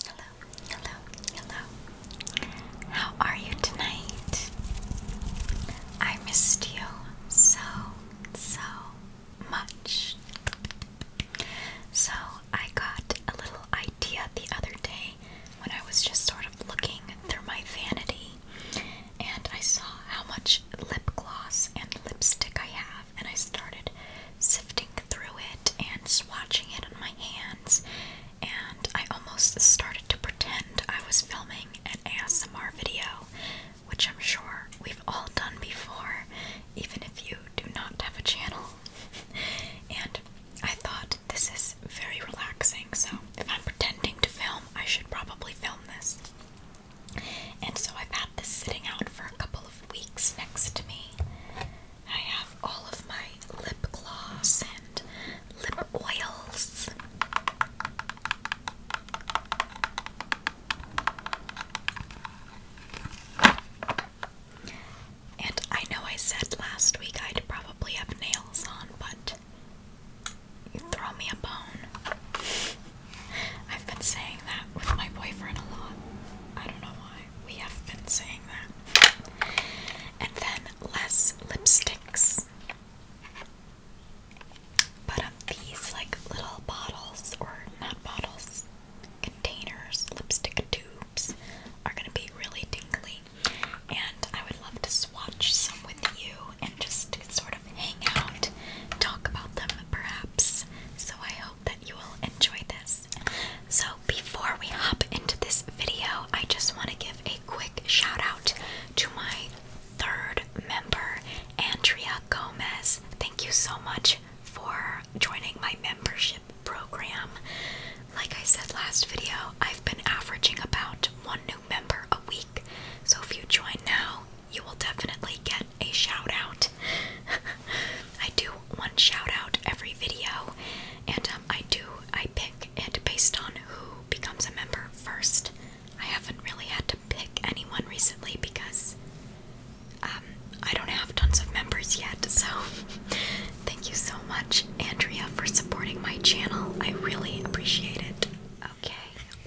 Hello, hello, hello. How are you tonight? I missed you so, so much. So, I got a little idea the other day when I was just sort of looking through my vanity and I saw how much lip gloss and lipstick I have, and I started sifting through it and swatching it on my hands, and I almost started to pretend I was filming an ASMR video, which I'm sure we've all done before, even if you do not have a channel. and I thought this is very relaxing, so if I'm pretending to film, I should probably film this. And so I've had this sitting out for a couple of weeks next to me. I have all of my lip gloss and lip oils. And I know I said last week I'd probably have nails on, but you throw me a bone. I've been saying that with my boyfriend a lot. I don't know why. We have been saying that. And then less lipsticks. But um, these like little bottles, or not bottles, containers, lipstick tubes, are going to be really tingly. And I would love to swatch some with you and just sort of hang out, talk about them perhaps. So I that you will enjoy this. So, before we hop into this video, I just want to give a quick shout out to my third member, Andrea Gomez. Thank you so much for joining my membership program. Like I said last video, I've been averaging about one new member a week. So if you join now, you will definitely get a shout out. I do one shout out every video, and um, I do I pick it based on who becomes a member first. I haven't really had to pick anyone recently because um, I don't have tons of members yet. So thank you so much, Andrea, for supporting my channel. I really appreciate it. Okay,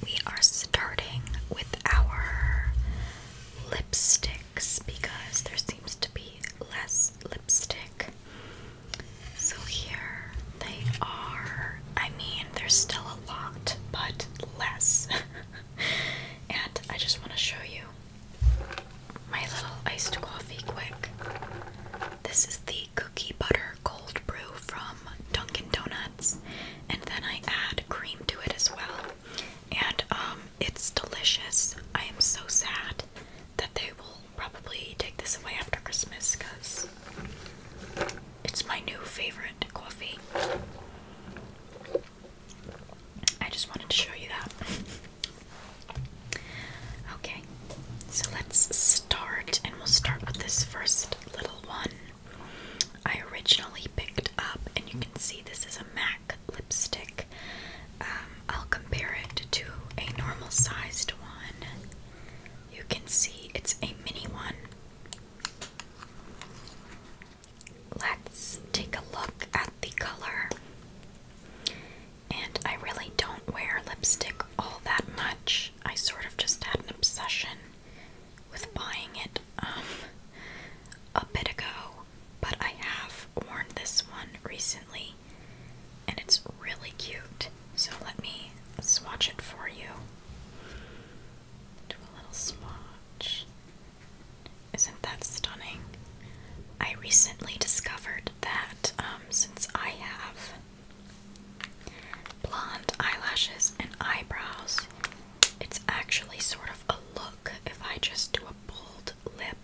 we are starting with our lipsticks because there seems to be less lipstick. So here they are. I mean, there's still a lot, but less. and I just want to show you my little iced coffee quick. This is the cookie butter cold brew from Dunkin' Donuts, and then I add cream to it as well. And um, it's delicious. I am so sad that they will probably take this away after Christmas because it's my new favorite coffee. I just wanted to show you that. okay, so let's start, and we'll start with this first little one. I originally picked up, and you can see this is a MAC lipstick. Um, I'll compare it to a normal sized one. You can see it's a mini one. Let's take a look at the color. And I really don't wear lipstick all that much. I sort of just had an obsession with buying it um, a bit ago but I have worn this one recently and it's really cute. So let me swatch it for you. Do a little swatch. Isn't that stunning? I recently discovered that um, since I have blonde eyelashes and eyebrows, it's actually sort of a look if I just do a bold lip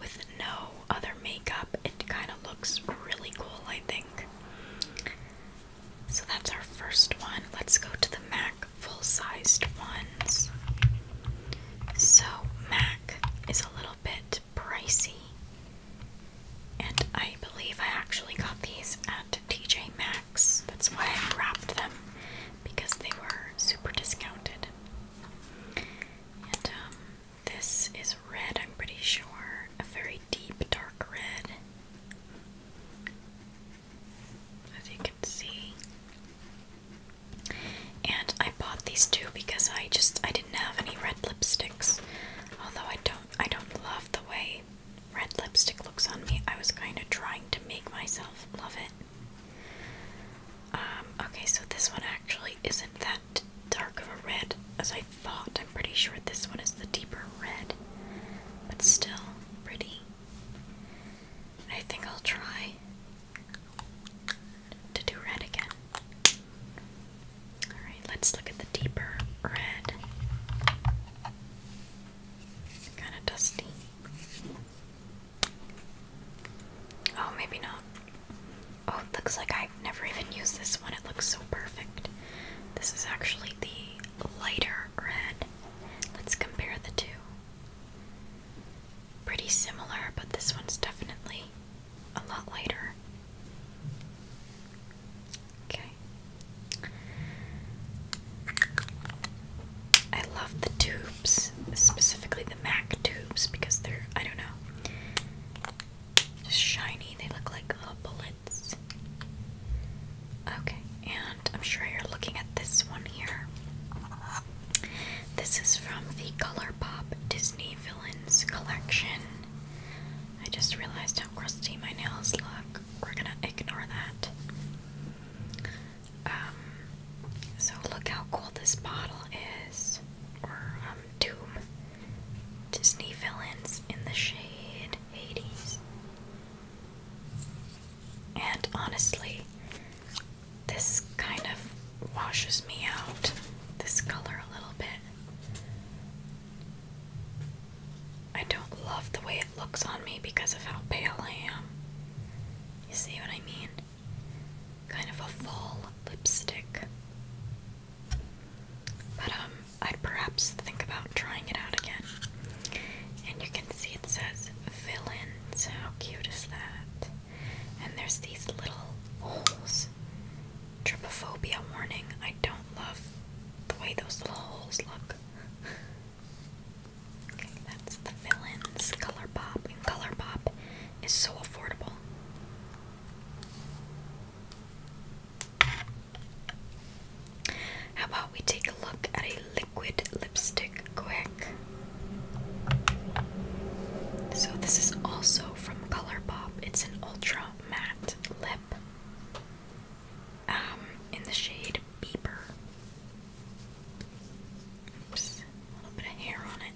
with no other makeup, it kind of looks really cool, I think. So that's our first one. Let's go to the MAC full sized ones. So, MAC is a little bit pricey. And I believe I actually got these at TJ Maxx. That's why I wrapped them because they were super discounted. And um, this is red, I'm pretty sure. A very deep, dark red. As you can see. And I bought these two because I just I didn't have any red lipsticks. Although I don't I don't love the way red lipstick looks on me. I was kind of trying to make myself love it. Um, okay, so this one actually isn't that dark of a red as I thought. I'm pretty sure this one is the deeper red, but still pretty. I think I'll try to do red again. Alright, let's look at the deeper red. Kind of dusty. Oh, maybe not. Oh, it looks like I've never even used this one. It looks so perfect. This is actually the lighter red. Let's compare the two. Pretty similar, but this one's definitely a lot lighter. Okay. I love the tubes, specifically the MAC tubes, because they're, I don't know, just shiny. They look like little bullets. Okay, and I'm sure you're looking at this one here. This is from the ColourPop Disney Villains Collection. I just realized how crusty my nails look. We're gonna ignore that. Um, so look how cool this bottle is, or um, tube. Disney villains in the shade, Hades. And honestly, this kind of washes me out, this color a little bit. I don't love the way it looks on me because of how pale I am. You see what I mean? kind of a fall lipstick. But um I'd perhaps think about trying it out again. And you can see it says villains. How cute is that? And there's these little holes. Trypophobia warning. I don't love the way those little holes look. Okay, that's the villains. Color Pop and Color is so affordable. How about we take a look at a liquid lipstick quick? So this is also from ColourPop. It's an ultra matte lip um, in the shade Beeper a little bit of hair on it.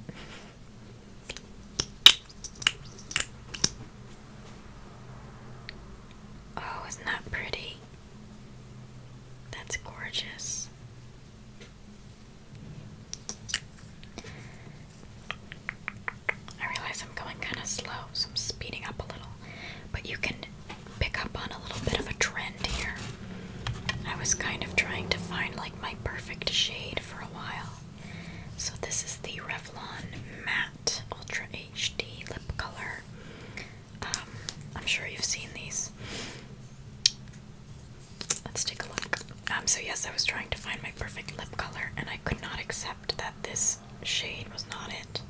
Oh, isn't that pretty? That's gorgeous. I realize I'm going kind of slow, so I'm speeding up a little. But you can pick up on a little bit of a trend here. I was kind of trying to find like my perfect shade for a while. So this is the Revlon Matte Ultra HD Lip Color. Um, I'm sure you've seen these. Let's take a look. Um, so yes, I was trying to find my perfect lip color, and I could not accept that this shade was not it.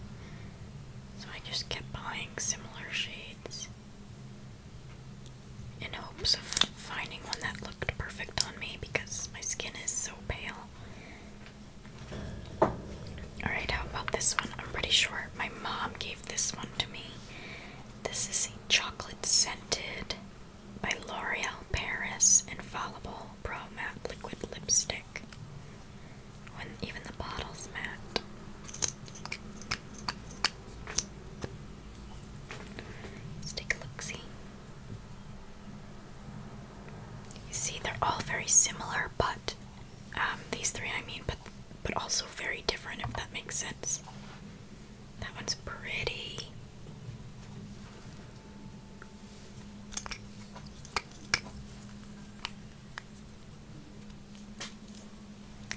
So I just kept buying similar shades in hopes of finding one that looked perfect on me because my skin is so pale. Alright, how about this one? I'm pretty sure my mom gave this one to me. This is a chocolate scented by L'Oreal Paris Infallible Pro Matte Liquid Lipstick. When even the bottle's matte. Let's take a look see. You see they're all very similar but um, these three I mean but but also very different if that makes sense. That one's pretty.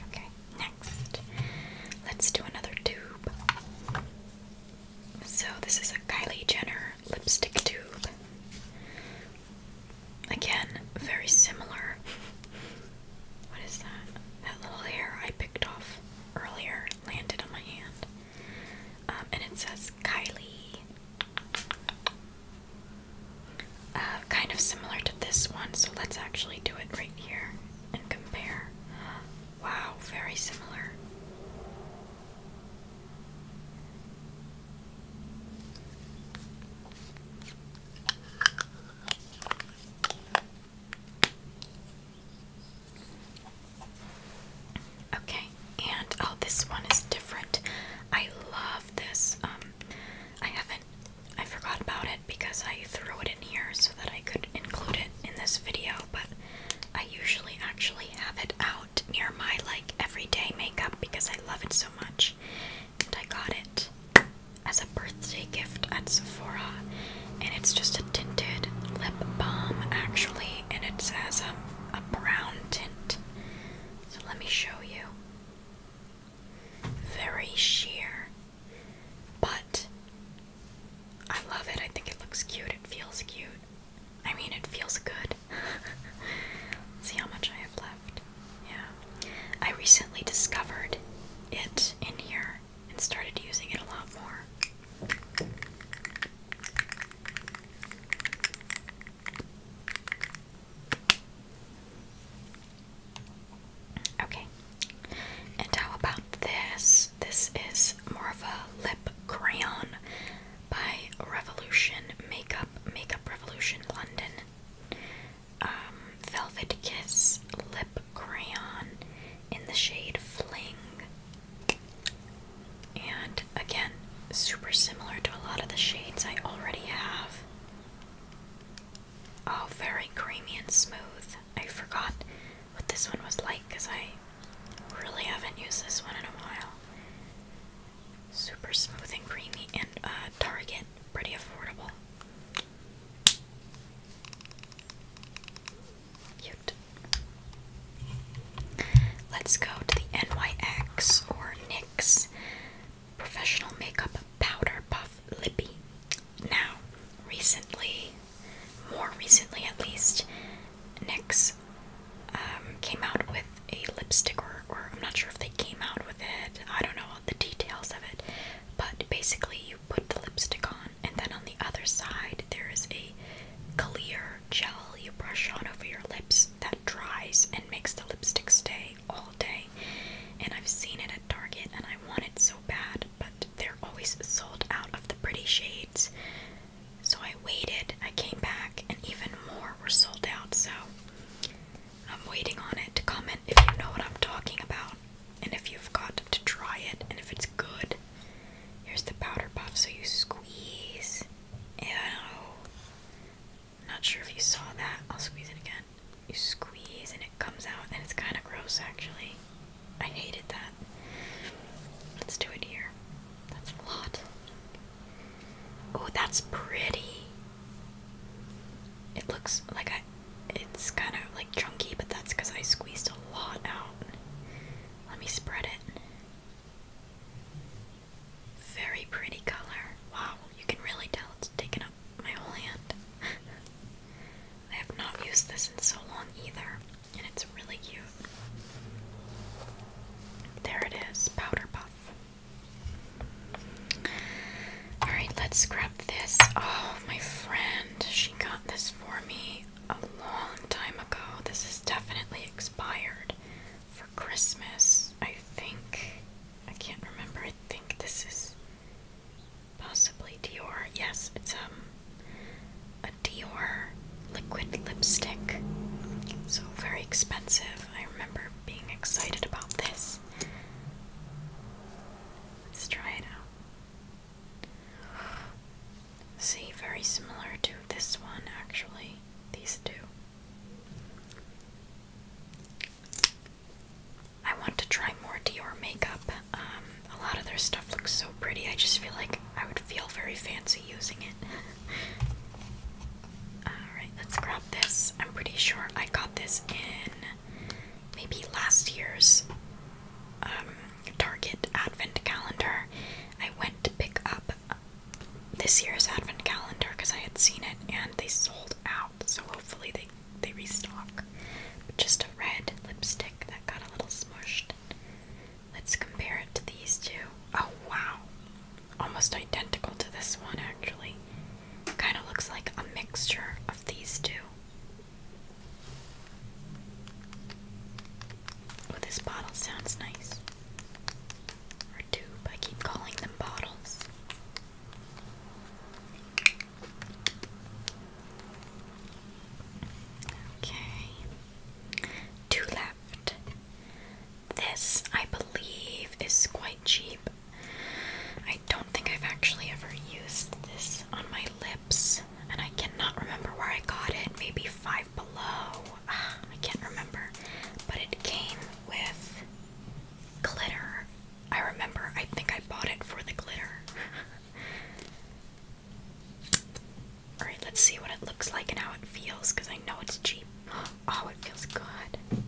Okay, next. Let's do another tube. So, this is a Kylie Jenner lipstick tube. Again, very similar. What is that? That little hair I picked off earlier landed on my hand. Um, and it says Kylie. Uh, kind of similar to this one, so let's actually do it right here and compare. Wow, very similar. Okay, and oh, this one is different. I love this. Um, I haven't. I forgot about it because I threw it in here so that I could include it in this video, but I usually actually have it out near my like everyday makeup because I love it so much. And I got it as a birthday gift at Sephora, and it's just a tinted lip balm actually, and it's as um, a brown tint. So let me show you very sheer, but I love it. I think it looks cute. It feels cute. I mean, it feels good. See how much I have left. Yeah. I recently discovered it in here and started using it a lot more. Okay. And how about this? This is more of a lip crayon by Revolution Makeup, Makeup Revolution London. Um, Velvet Kiss Lip Crayon in the shade Fling. And again, super similar to a lot of the shades I already have. Oh, very creamy and smooth. I forgot what this one was like because I really haven't used this one in a while. Super smooth and creamy, and uh, Target, pretty affordable. Cute. Let's go to the NYX or NYX Professional Makeup Powder Puff Lippy. Now, recently, more recently at least, NYX um, came out with a lipstick, or, or I'm not sure if they came out with it, I don't know the details of it, but basically, you put the lipstick on, and then on the other side, there is a clear gel you brush on over your lips that dries and makes the lipstick stay all day. And I've seen it at Target and I want it so bad, but they're always sold out of the pretty shades. So I waited, I came back, and even more were sold out. So I'm waiting on it to comment if you know what I'm talking about and if you've got to try it and if it's good. Here's the powder puff, so you squeeze. Ew. Not sure if you saw that. I'll squeeze it again. You squeeze and it comes out, and it's kind of gross actually. I hated that. Let's do it here. That's a lot. Oh, that's pretty. It looks like a. It's kind of like chunky, but that's because I squeezed a lot out. Let me spread it. Very pretty color. Wow, you can really tell it's taken up my whole hand. I have not used this in so long either, and it's really cute. There it is, Powder Alright, let's grab this. Oh, my friend, she got this for me a long time ago. This is definitely expired for Christmas, I think. I can't remember. I think this is Possibly Dior. Yes, it's um, a Dior liquid lipstick. So very expensive. I remember being excited about this. Let's try it out. See, very similar to this one actually. These two. I want to try more Dior makeup. Um, a lot of their stuff looks so pretty. I just feel like I would feel very fancy using it. Alright, let's grab this. I'm pretty sure I got this in maybe last year's um, Target Advent calendar. I went to pick up this year's Advent calendar because I had seen it and they sold out. So hopefully they they restock. just a red lipstick that got a little smushed. Let's compare it to these two. Oh wow. Almost identical to this one actually. Kind of looks like a mixture of these two. Oh, this bottle sounds nice. Or tube, I keep calling them bottles. Okay. Two left. This, I believe, is quite cheap. I don't think I've actually ever used this on my lips, and I cannot remember where I got it. Maybe Five Below. Ah, I can't remember. But it came with glitter I remember, I think I bought it for the glitter. Alright, let's see what it looks like and how it feels because I know it's cheap. Oh, it feels good.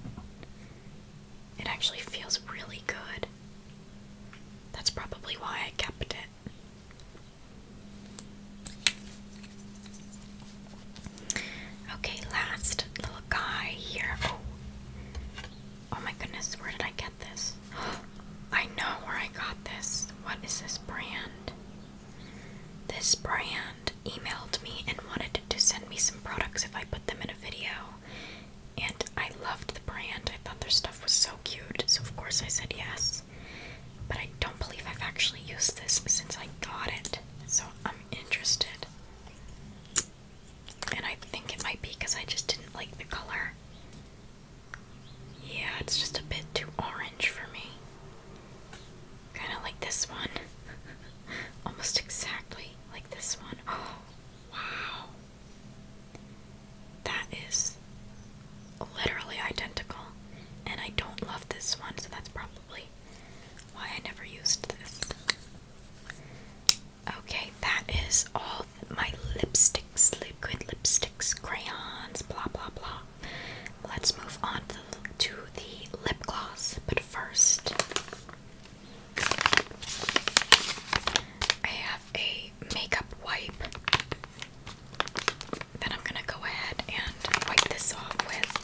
It actually feels really good. That's probably why I kept it. Okay, last guy here. Oh. oh my goodness, where did I get this? I know where I got this. What is this brand? This brand emailed me and wanted to send me some products if I put them in a video. And I loved the brand. I thought their stuff was so cute. So, of course, I said yes. But I don't believe I've actually used this since I got it. So, I'm interested. And I think it might be because I just didn't like the color. Yeah, it's just a bit too orange for me. Kind of like this one. Almost exactly like this one. Oh, wow. That is literally identical. And I don't love this one, so that's probably why I never used this. Okay, that is all my lipsticks, liquid lipsticks, crayons, blah blah blah. Let's move on to the, to the lip gloss, but first, I have a makeup wipe that I'm gonna go ahead and wipe this off with.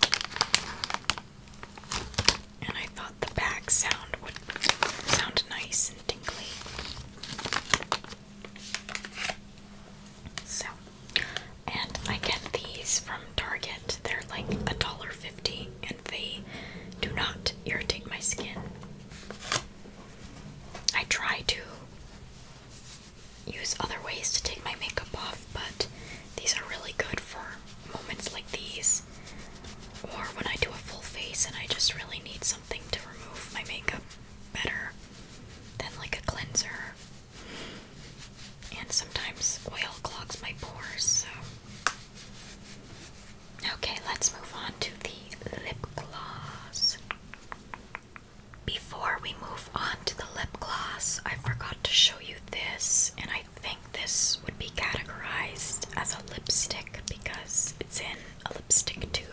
And I thought the back sound would sound nice and tinkly. So, and I get these from Target. They're like a dollar fifty, and they do not irritate my skin. I try to use other ways to take my makeup off, but these are really good for moments like these or when I do a full face and I just really need something to remove my makeup better than like a cleanser. And sometimes oil clogs my pores, so. Okay, let's move on to the lip gloss. Before we move on to the lip gloss, I forgot to show you this, and I think this would be categorized as a lipstick because it's in a lipstick tube.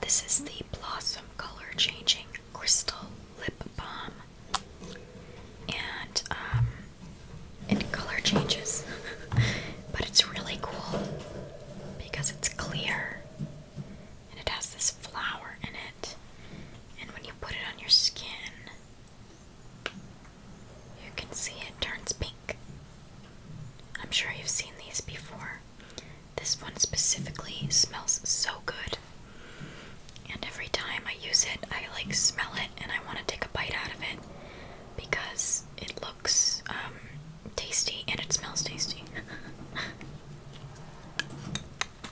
This is the Blossom Color Changing Crystal Lip Balm. And um it color changes. but it's really cool because it's clear and it has this flower in it. And when you put it on your skin, you can see it turns pink. I'm sure you've seen these before. This one specifically smells so good. And every time I use it, I like smell it and I want to take a bite out of it because it looks um, tasty and it smells tasty.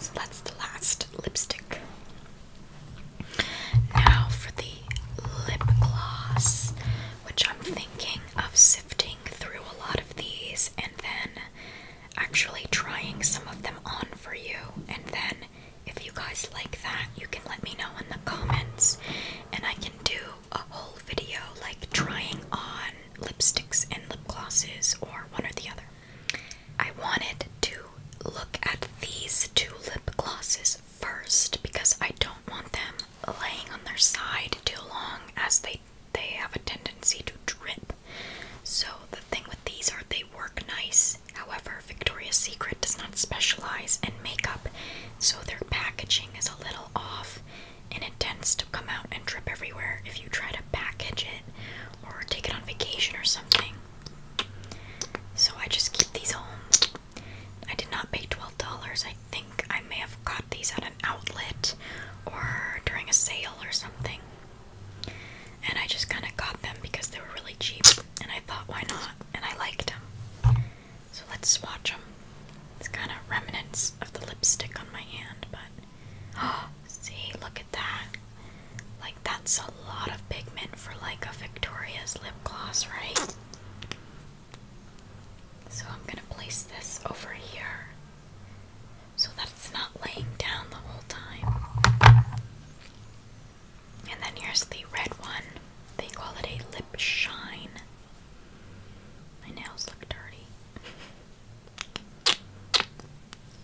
So that's the last lipstick. Now for the lip gloss, which I'm thinking of sifting through a lot of these and then actually trying some of them on for you. And then if you guys like that, you can let me know in the comments and I can do a whole video like trying on lipsticks and lip glosses or one or the other. I wanted to look at these two lip glosses first because I don't want them laying on their side too long as they they have a tendency to drip. So the thing with these are they work nice. However, Victoria's Secret does not specialize in makeup, so their packaging is a little off and it tends to come out and drip everywhere if you try to package it or take it on vacation or something. So I just keep these home. I did not pay $12. I think I may have got these at an outlet or during a sale or something. And I just kind of got them because they were really cheap. And I thought, why not? And I liked them. So let's swatch them. It's kind of remnants of the lipstick on my hand, but See, look at that. Like, that's a lot of pigment for like a Victoria's lip gloss, right? So, I'm gonna place this over here so that it's not laying down the whole time. And then here's the red one. They call it a lip shine. My nails look dirty.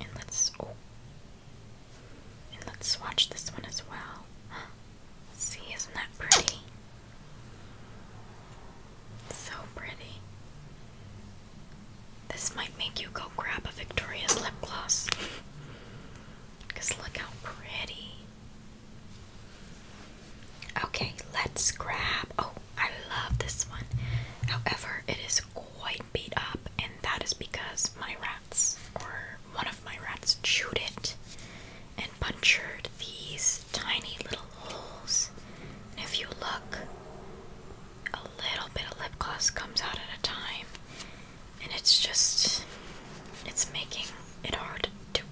And let's oh, and let's swatch this one as well. See, isn't that pretty? So pretty. This might make you go grab a Victoria's lip gloss. Because look how pretty. Okay, let's grab. Oh, I love this one. However, it is quite beat up, and that is because my rats, or one of my rats, chewed it and punctured these tiny little holes. And if you look, a little bit of lip gloss comes out at a time, and it's just, it's making it hard to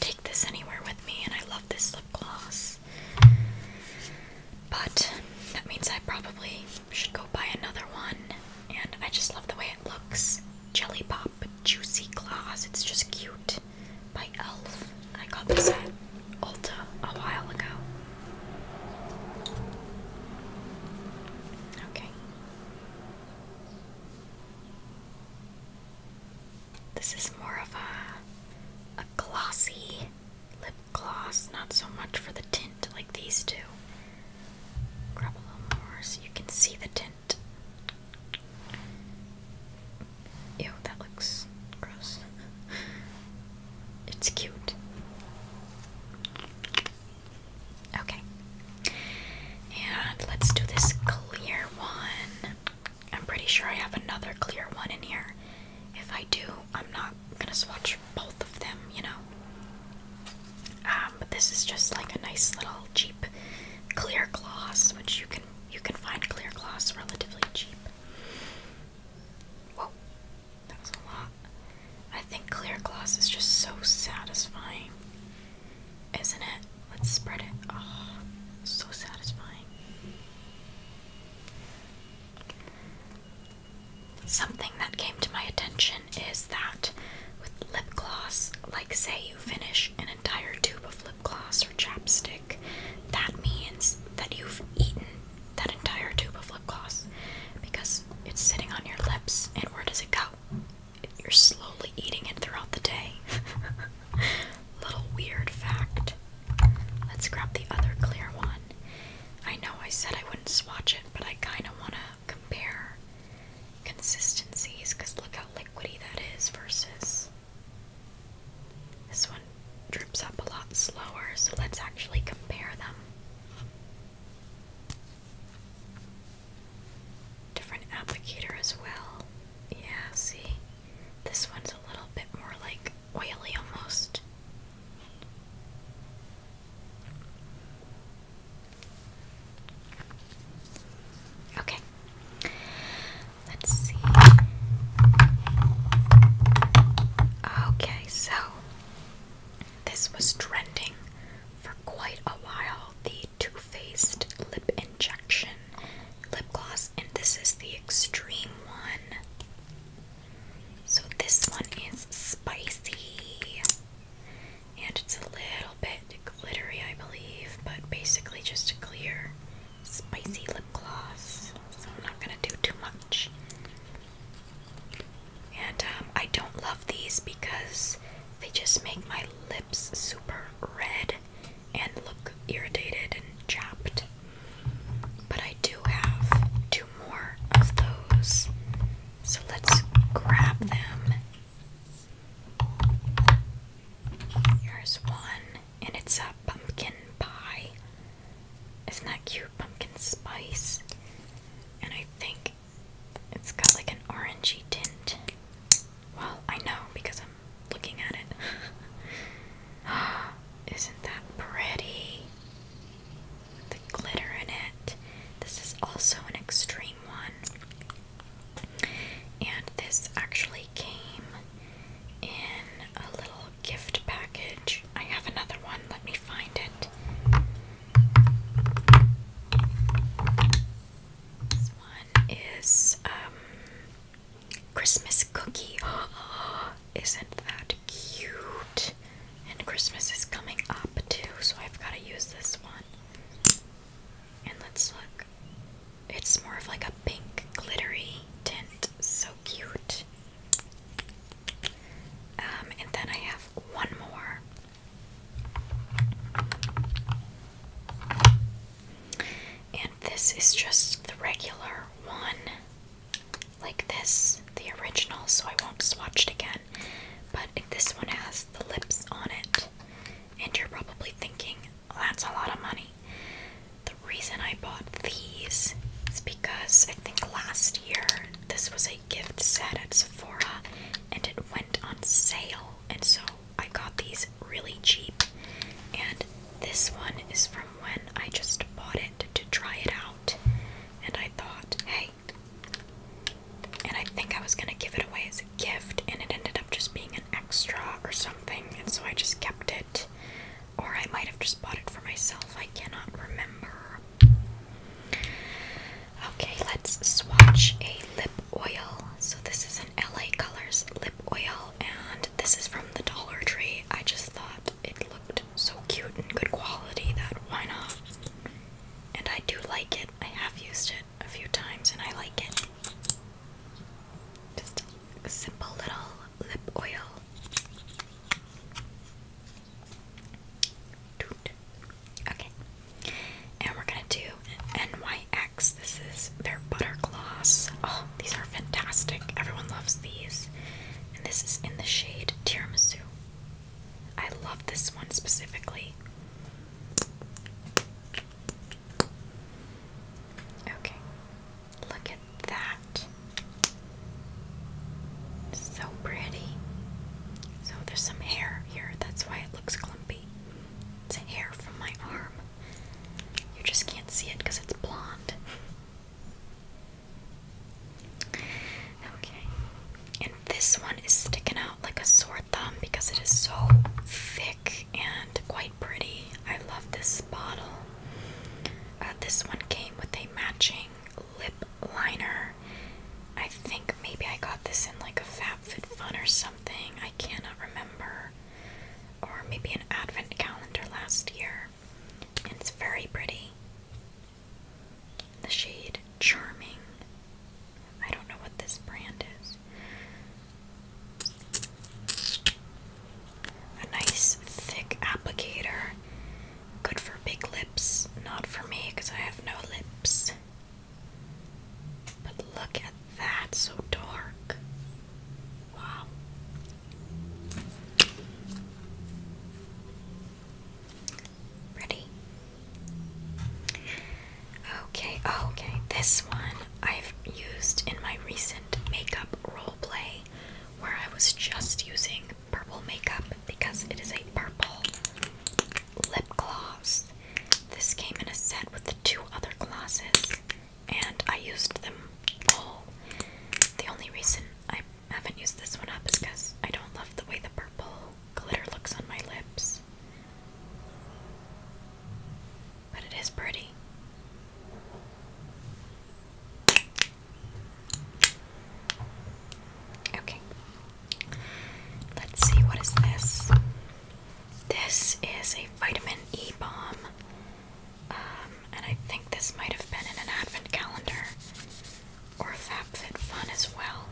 take this anywhere with me. And I love this lip gloss, but that means I probably should go buy another one. And I just love the way it looks. Jelly Pop Juicy Claws. It's just cute. By Elf. I got this at Ulta a while ago. Okay. This is more of a a glossy lip gloss, not so much for the tint like these two. Grab a little more so you can see the tint. Ew, that looks gross. it's cute. Okay. And let's do this clear one. I'm pretty sure I have another clear one in here. If I do, I'm not gonna swatch both of them, you know. Um, but this is just like a nice little cheap clear gloss, which you can you can find clear gloss relatively cheap. Whoa, that was a lot. I think clear gloss is just so satisfying, isn't it? Let's spread it. Oh, so satisfying. Something that came to my attention is that with lip gloss, like say you finish an entire tube of lip gloss or chapstick, that means that you've eaten that entire tube of lip gloss because it's sitting on your lips and where does it go? You're slowly eating it throughout the day. Little weird fact. Let's grab the other clear one. I know I said I wouldn't swatch it, but I kind of want to compare consistencies because look how liquidy that is versus this one drips up a lot slower, so let's actually compare them. Different applicator as well. Yeah, see? This one's a little bit more like oily almost. Okay, let's see. Okay, so this was trending for quite a while the Too Faced Lip Injection Lip Gloss, and this is the extreme one. So this one is spicy. And it's a little bit glittery, I believe, but basically just a clear, spicy lip gloss. So I'm not gonna do too much. And um, I don't love these because they just make my lips super red and look irritated and chapped. But I do have two more of those. So let's grab them. Here's one, and it's a pumpkin pie. Isn't that cute? Pumpkin spice. And I think it's got like an orangey tint. Well, I know because I'm looking at it. Isn't that pretty? the glitter in it. This is also an extreme one. And this actually came in a little gift package. I have another one. Let me find it. This one is um Christmas cookie. Oh, isn't that cute? And Christmas is coming up too, so I've got to use this one. And let's look. It's more of like a pink glittery tint. So cute. Um, and then I have one more. And this is just the regular one like this, the original, so I won't swatch it again. But this one has the lips on it, and you're probably thinking, that's a lot of money. The reason I bought these is because I think last year this was a gift set at Sephora and it went on sale, and so I got these really cheap. And this one is from when I just bought it to try it out, and I thought, hey, and I think I was gonna give it away as a gift, and it ended up just being an extra or something, and so I just kept it, or I might have just bought it for myself, I cannot remember. Okay, let's swatch a lip oil. So, this is an LA Colors lip oil, and this is from the Dollar Tree. I just thought it looked so cute and good quality that why not? And I do like it. I have used it a few times and I like it. Just a simple little lip oil. Okay. And we're gonna do NYX. This is their butter gloss. Oh, these are fantastic. Everyone loves these and this is in the shade Tiramisu. I love this one specifically. Okay, look at that. So pretty. So there's some hair here, that's why it looks clumpy. It's hair from my arm. You just can't see it because it's blonde. Okay. And this one is sticking out like a sore thumb because it is so thick and quite pretty. I love this bottle. Uh, this one came with a matching lip liner. I think maybe I got this in like a Fat Food Fun or something. I cannot remember. Or maybe an advent calendar last year it's very pretty. The shade Charming. I don't know what this brand is. A nice thick applicator. Good for big lips. Not for me because I have no lips. But look at that, so dark. Wow. Ready? Okay, oh, okay. This one I've used in my recent makeup roleplay where I was just using purple makeup because it is a purple lip gloss. This came in a set with the two other glosses and I used them all. The only reason I I haven't used this one up because I don't love the way the purple glitter looks on my lips. But it is pretty. Okay. Let's see, what is this? This is a vitamin E bomb. Um, and I think this might have been in an advent calendar or a FabFitFun as well.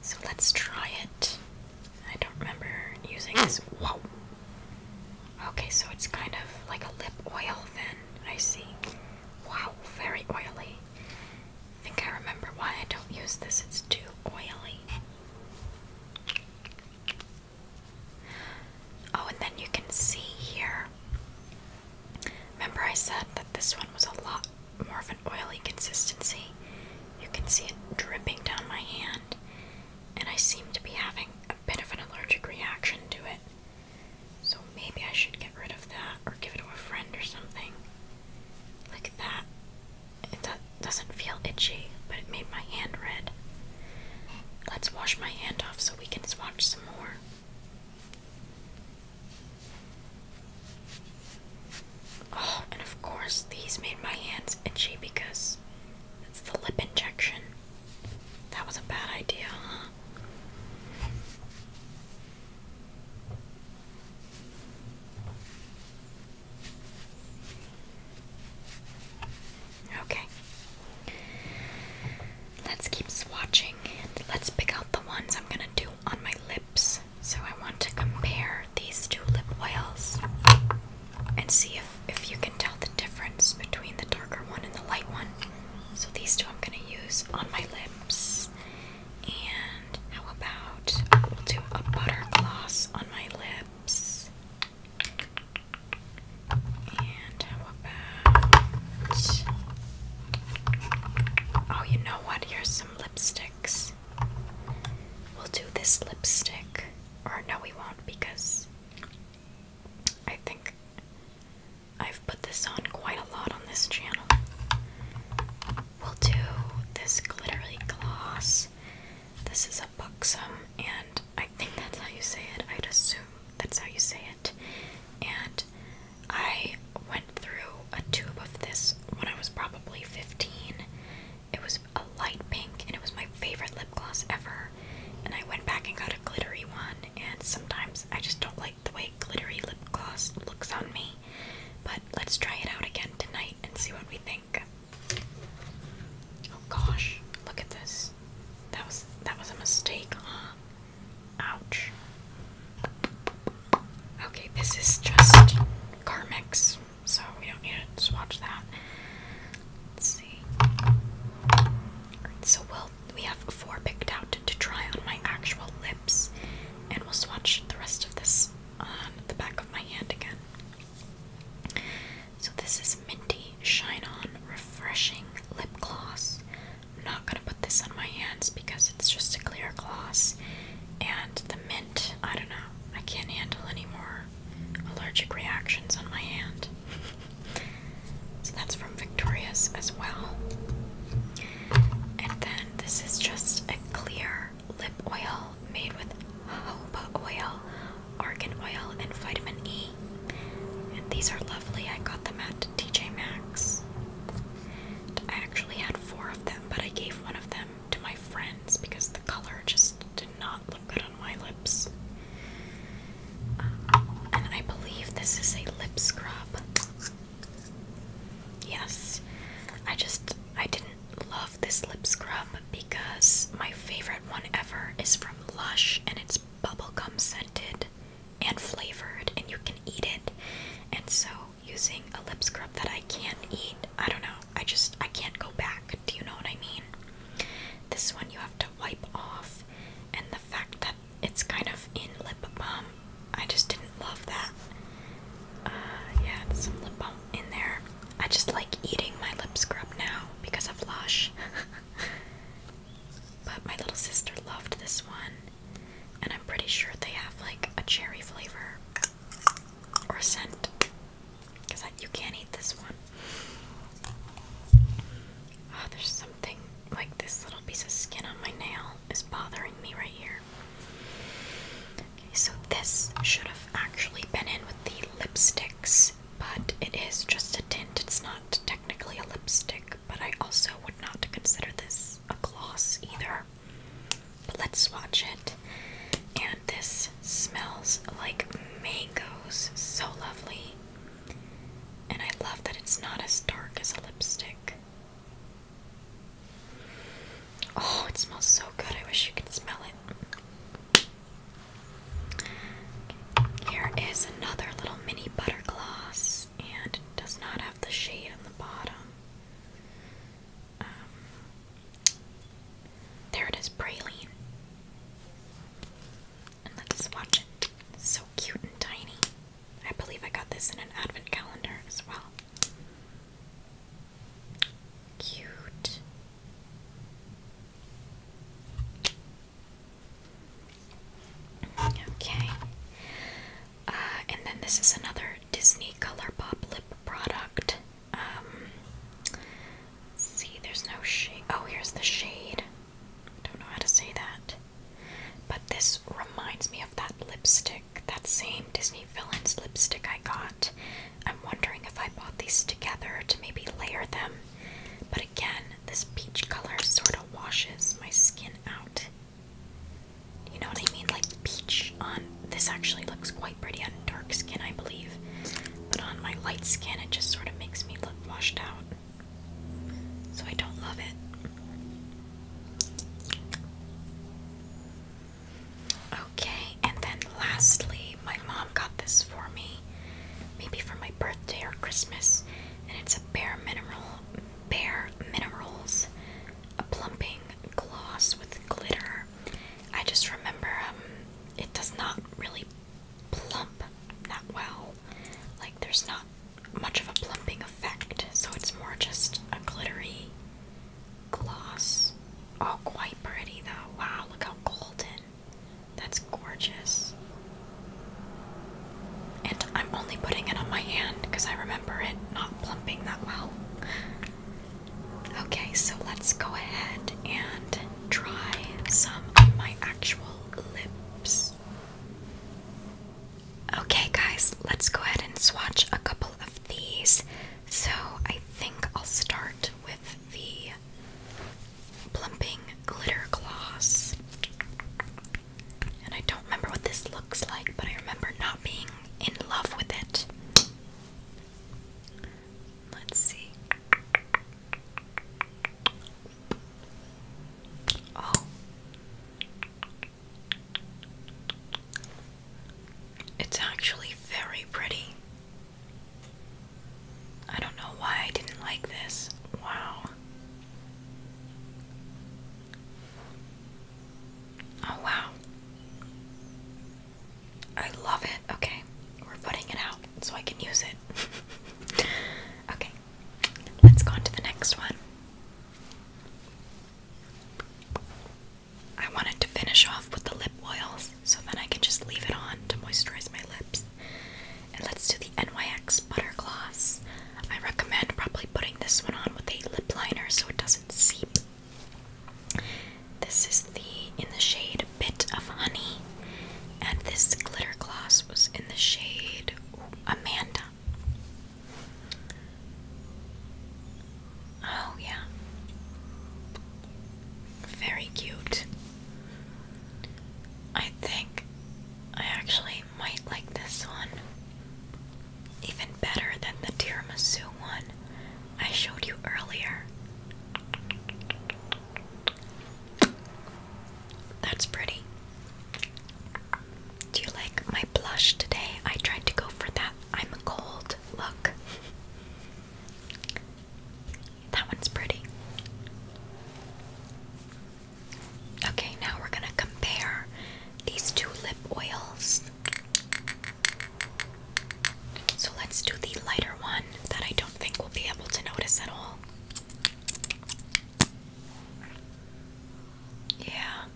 So let's try it. I don't remember using this. Hmm. Wow. Okay, so it's kind of like a lip oil then. I see. Wow, very oily. I think I remember why I don't use this. It's too oily. Oh, and then you can see here. Remember, I said that this one was a lot more of an oily consistency. You can see it dripping down my hand, and I seem to be having a bit of an allergic reaction to it. So maybe I should get rid of that or give it to a friend or something. Like that. It doesn't feel itchy, but it made my hand red. Let's wash my hand off so we can swatch some more. Oh, and of course, these made my hands itchy because it's the lip injection. That was a bad idea, Okay. Let's keep swatching and let's pick out the ones I'm gonna do on my lips. So I want to compare these two lip oils and see if, if you can tell the difference between the darker one and the light one. So these two I'm gonna use on my lips. And how about we'll do a butter gloss on my lips? And how about. Oh, you know what? Here's some lipsticks. We'll do this lipstick. Or no, we won't because I think I've put this on quite a lot on this channel. We'll do this glittery gloss. This is a buxom, and I think that's how you say it, I'd assume. That's how you say it. And I went through a tube of this when I was probably 15. It was a light pink and it was my favorite lip gloss ever. And I went back and got a glittery one. And sometimes I just don't like the way glittery lip gloss looks on me. But let's try it out again tonight and see what we think. Oh gosh, look at this that was that was a mistake, Ouch. Okay, this is just Carmex, so we don't need to swatch that. see. so we'll we have four picked out to try on my actual lips, and we'll swatch the rest of this on the back of my hand again. So this is Minty Shine On Refreshing Lip Gloss. I'm not going to put this on my hands because it's just a clear gloss. And the mint, I don't know, I can't handle any more allergic reactions on my hand. so that's from Victoria's as well. And then this is just a clear lip oil made with jojoba oil argan oil, and vitamin E. And these are lovely. I got them at TJ Maxx. I actually had four of them, but I gave one of them to my friends because the color just did not look good on my lips. Um, and I believe this is a lip scrub. Yes, I just I didn't love this lip scrub because my favorite one ever is from Lush and it's bubblegum scented and flavored, and you can eat it. And so, using a lip scrub that I can't eat, I don't know, I just I can't go back. Do you know what I mean? This one you have to wipe off, and the fact that it's kind of in lip balm, I just didn't love that. Uh, yeah, there's some lip balm in there. I just like eating my lip scrub now because of Lush. but my little sister loved this one, and I'm pretty sure they have like a cherry flavor or scent because you can't eat this one. Oh, there's something like this little piece of skin on my nail is bothering me right here. Okay, so this should have actually been in with the lipsticks but it is just a tint. It's not technically a lipstick, but I also would not consider this a gloss either. But let's swatch it. And this smells like mangoes. So lovely. And I love that it's not as dark as a lipstick. Oh, it smells so good. I wish you could smell it. Here is another little mini butter gloss, and it does not have the shade on the bottom. Um, there it is, praline. let's watch it. so cute and tiny. I believe I got this in an advent calendar as well. Cute. Okay. Uh, and then this is another Disney Color Pop lip product. Um, see, there's no shade. Oh, here's the shade. Don't know how to say that. But this reminds me of that lipstick, that same Disney Villains lipstick I got. I'm wondering if I bought these together to maybe layer them but again, this peach color sort of washes my skin out. You know what I mean? Like peach on this actually looks quite pretty on dark skin, I believe. But on my light skin, it just sort of makes me look washed out. So I don't love it. Okay, and then lastly, my mom got this for me, maybe from birthday or Christmas, and it's a bare mineral, bare minerals, a plumping gloss with glitter. I just remember um, it does not really plump that well. Like there's not much of a plumping effect, so it's more just a glittery gloss. All oh, quite pretty though. Wow, look how golden. That's gorgeous. And I'm only putting it on my hand because I remember it not plumping that well. Okay, so let's go ahead and try some of my actual lips. Okay, guys, let's go ahead and swatch a couple of these. So I think I'll start with the Plumping Glitter Gloss. And I don't remember what this looks like, but I remember not being in love with it. Let's see. Oh. It's actually very pretty. I don't know why I didn't like this. Wow. Oh, wow. I love it. Okay, we're putting it out so I can use it. okay, let's go on to the next one. I wanted to finish off with the lip oils so then I can just leave it on to moisturize my lips. And let's do the NYX Butter Gloss. I recommend probably putting this one on with a lip liner so it doesn't seep. This is the in the shade Bit of Honey. And this glitter gloss was in the shade Amanda. Oh, yeah. Very cute. I think I actually might like this one even better than the tiramisu one I showed you earlier. That's pretty. Do you like my blush today? I tried to go for that I'm cold look. That one's pretty. Okay, now we're gonna compare these two lip oils. So let's do the lighter one that I don't think we'll be able to notice at all. Yeah.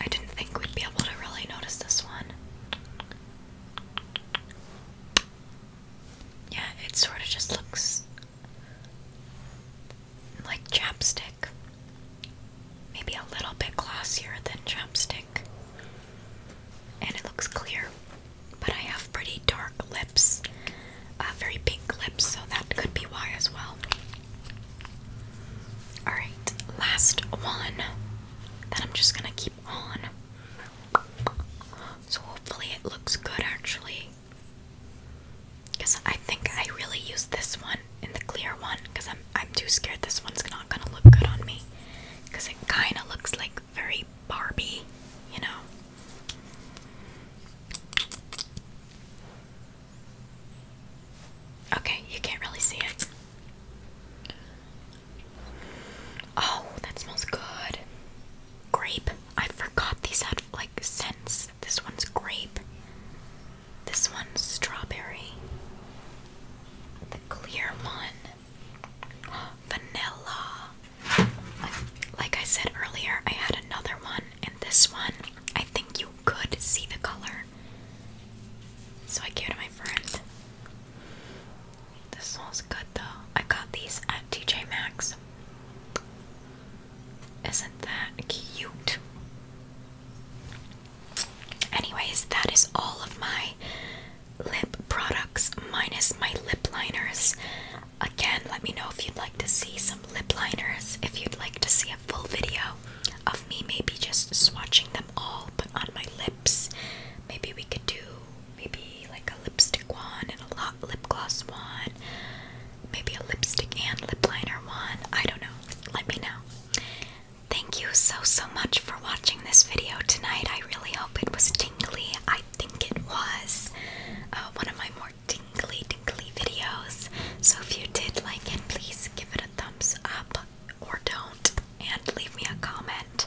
I didn't think we'd be able to really notice this one. Yeah, it sort of just looks like chapstick. Maybe a little bit glossier than chapstick. And it looks clear. But I have pretty dark lips, uh, very pink lips, so that could be why as well. Alright, last one that I'm just gonna keep. So hopefully it looks good actually. Because I think I really used this one in the clear one because I'm, I'm too scared this one's not going to look good on me. Because it kind of looks like very Barbie, you know? Okay, you can't really see it. Oh, that smells good. Grape. I forgot these had like scents. This one's grape. This one's strawberry. The clear one. Vanilla. Like I said earlier, I had another one, and this one, I think you could see the color. So I gave it to my friend. This smells good though. I got these at TJ Maxx. Isn't that cute? Anyways, that is all of my lip products minus my lip liners. Again, let me know if you'd like to see some lip liners, if you'd like to see a full video of me maybe just swatching them all but on my lips. Maybe we could do maybe like a lipstick one and a lot lip gloss one, maybe a lipstick and lip liner one. I don't know. Let me know. Thank you so so much for watching this video tonight. I really hope it was tingly. I think it was uh, one of my more tingly tingly videos. So if you did like it, please give it a thumbs up or don't and leave me a comment.